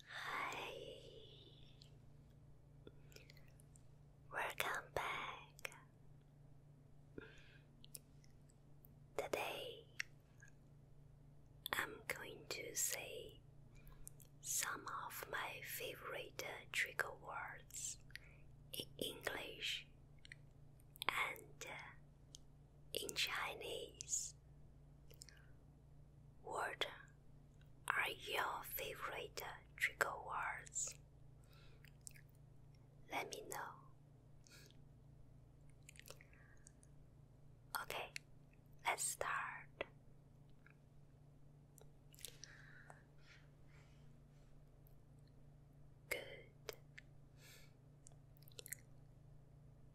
Hi. Welcome back. Today I'm going to say some of my favorite uh, trigger words in English and uh, in Chinese. What are your favorite trigger words? Let me know. Okay, let's start. Good.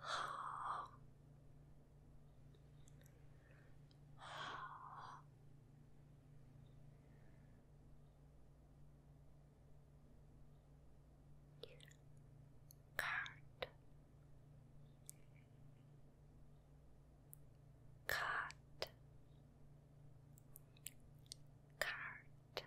Ha! Ha! Card. Card. Card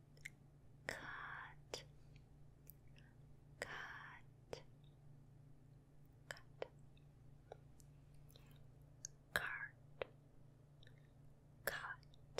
cut, cut, cut, cart, cut, cut, cart, cut. Cut,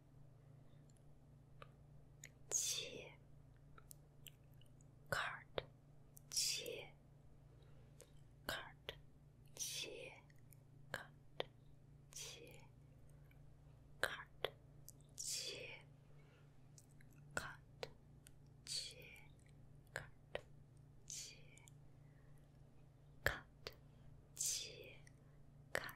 切 card 切 card 切 card 切 card 切 card 切 card 切 card 切 card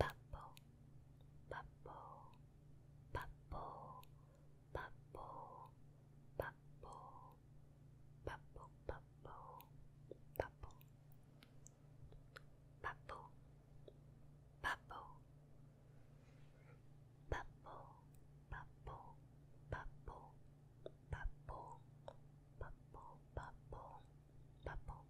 Papo, papo, papo, papo, papo, papo, papo, papo, papo, papo, papo, papo, papo, papo, papo, papo, papo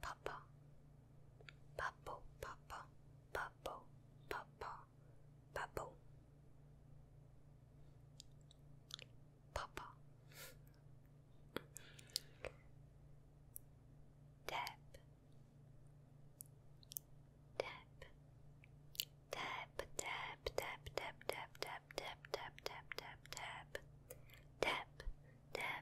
papa, papo, papa, papo, papa, papo, papa. Tap, tap, tap, tap, tap, tap, tap, tap, tap, tap, tap, tap, tap, tap, tap,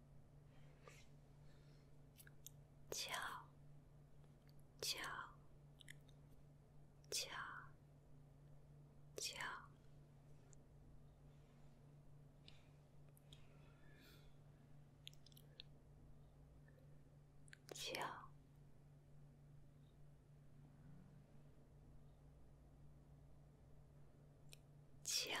叫，叫，叫，叫，叫，叫。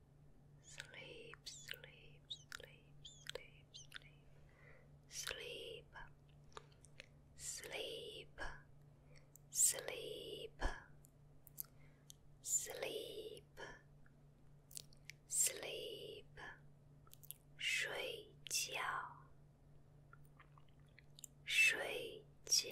Sleep, sleep, sleep, sleep, sleep. Sleep. Sleep. Sleep. Sleep. Sleep. 睡觉。睡觉。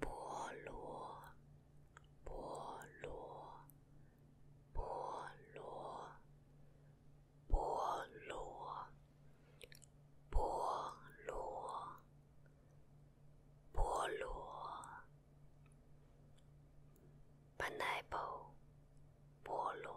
菠萝，菠萝，菠萝，菠萝，菠萝，菠萝，pineapple，菠萝。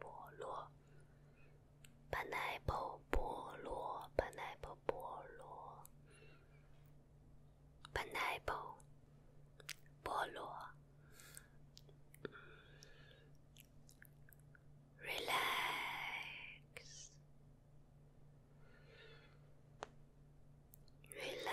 剥落，pineapple 剥落，pineapple 剥落，pineapple 剥落，relax。Relax,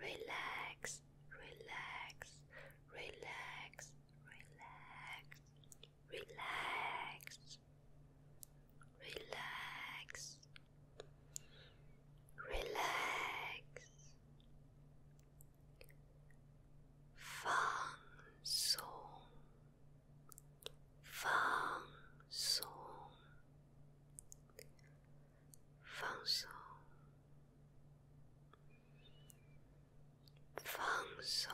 relax, relax, relax, relax, relax, relax, relax. 放松，放松，放松，放松，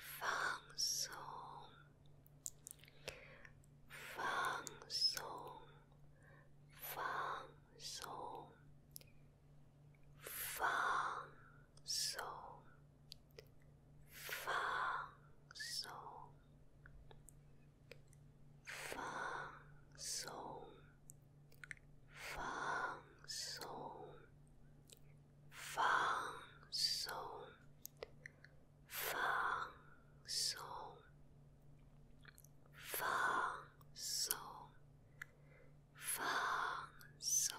放松，放松，放松，放松。放松，放松，放松，放松，放松，放松，放松，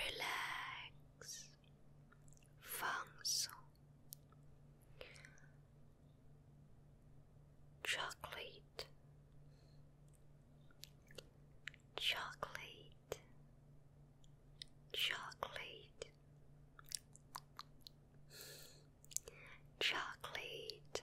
relax, 放松。Chocolate, chocolate, chocolate, chocolate,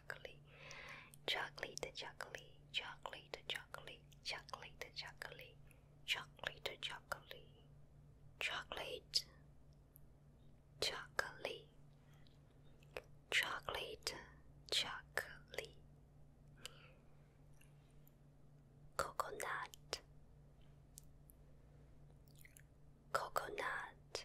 chocolate, chocolate, chocolate, chocolate, chocolate, chocolate, chocolate, chocolate, chocolate, chocolate, chocolate, chocolate, chocolate, coconut. Coconut,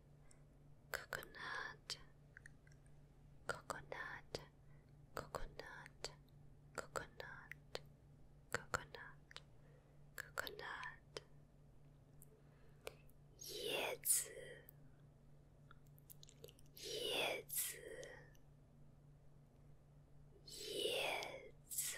coconut, coconut, coconut, coconut, coconut, coconut, 叶子，叶子，叶子。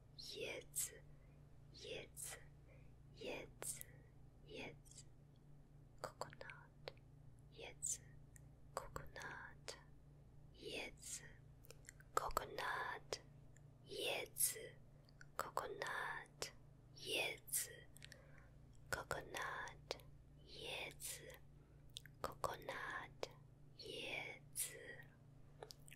叶子，叶子，叶子，叶子，coconut，叶子，coconut，叶子，coconut，叶子，coconut，叶子，coconut，叶子，coconut，叶子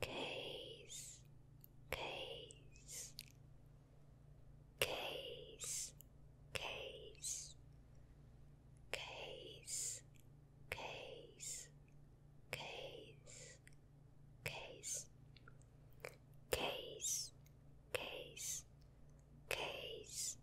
case, case, case, case, case, case, case, case, case, case, case, case.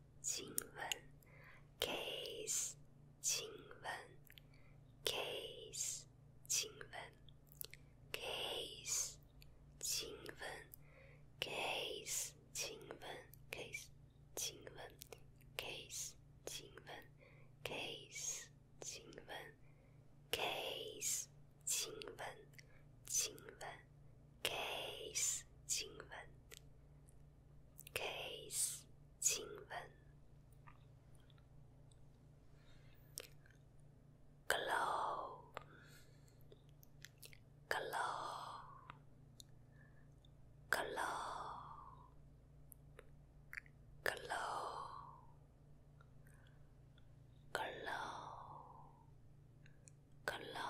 kiss 亲吻，kiss 亲吻，kiss 亲吻，kiss 亲吻，kiss 亲吻，kiss 亲吻，kiss 亲吻，kiss 亲吻，kiss 亲吻，亲吻。kiss 亲吻，kiss 亲吻，glow glow glow glow glow glow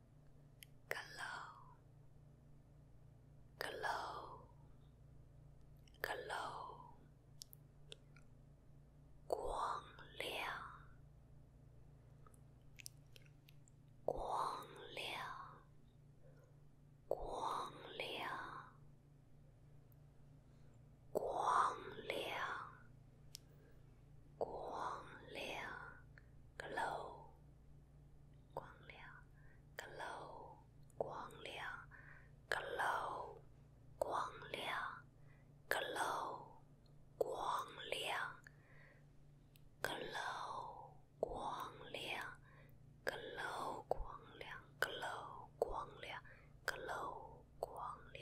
glow，glow，glow，光亮，光亮，光亮，光亮，光亮，glow。光亮，glow，光亮，glow，光亮，glow，光亮，glow，光亮，glow，光亮，glow，光亮，glow，光亮。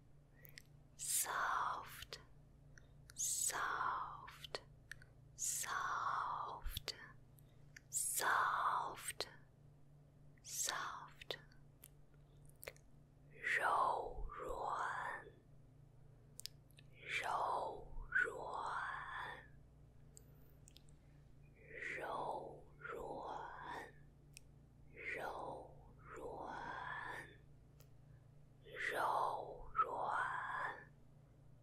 soft, soft, soft, soft, soft. 柔软，柔软，柔软，柔软，柔软，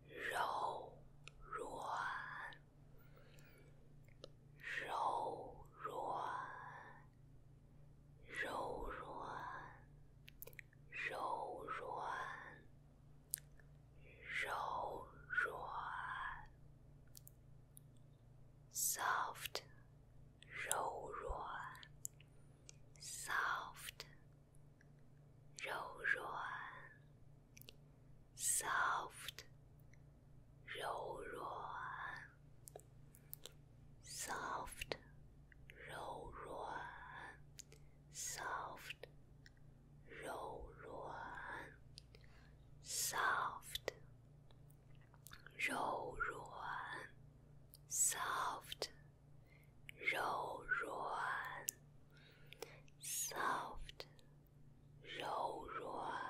柔软，柔软，柔软，柔软，柔软。soft roll roar, soft roll roar, soft roll roar, soft roll roar, soft roll roar, soft 柔软，soft，柔软，soft，柔软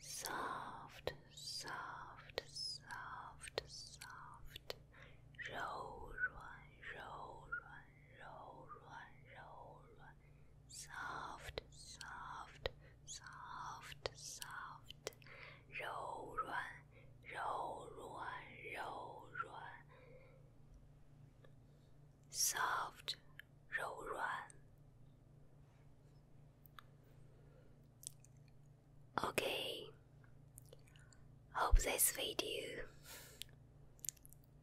，soft，soft，soft，soft，柔软，柔软，柔软，柔软，soft, soft, soft, soft，柔软，柔软，柔软，soft，柔软。Okay, hope this video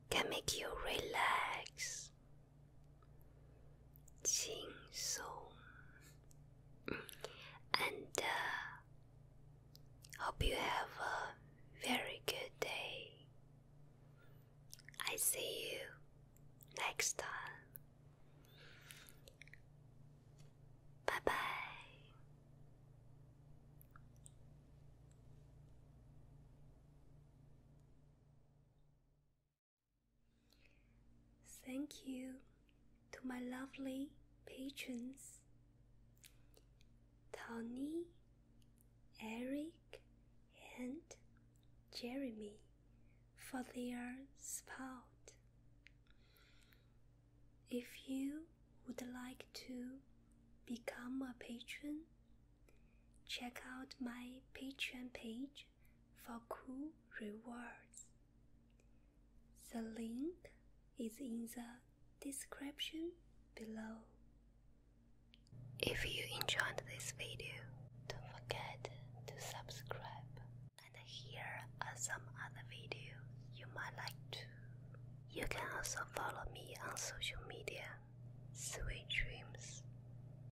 can make you relax. 轻松 and uh, hope you have a very good day. I see you next time. Bye bye. Thank you to my lovely patrons Tony, Eric, and Jeremy for their support. If you would like to become a patron, check out my Patreon page for cool rewards. The link is in the description below. If you enjoyed this video, don't forget to subscribe and here are some other videos you might like to. You can also follow me on social media. Sweet dreams.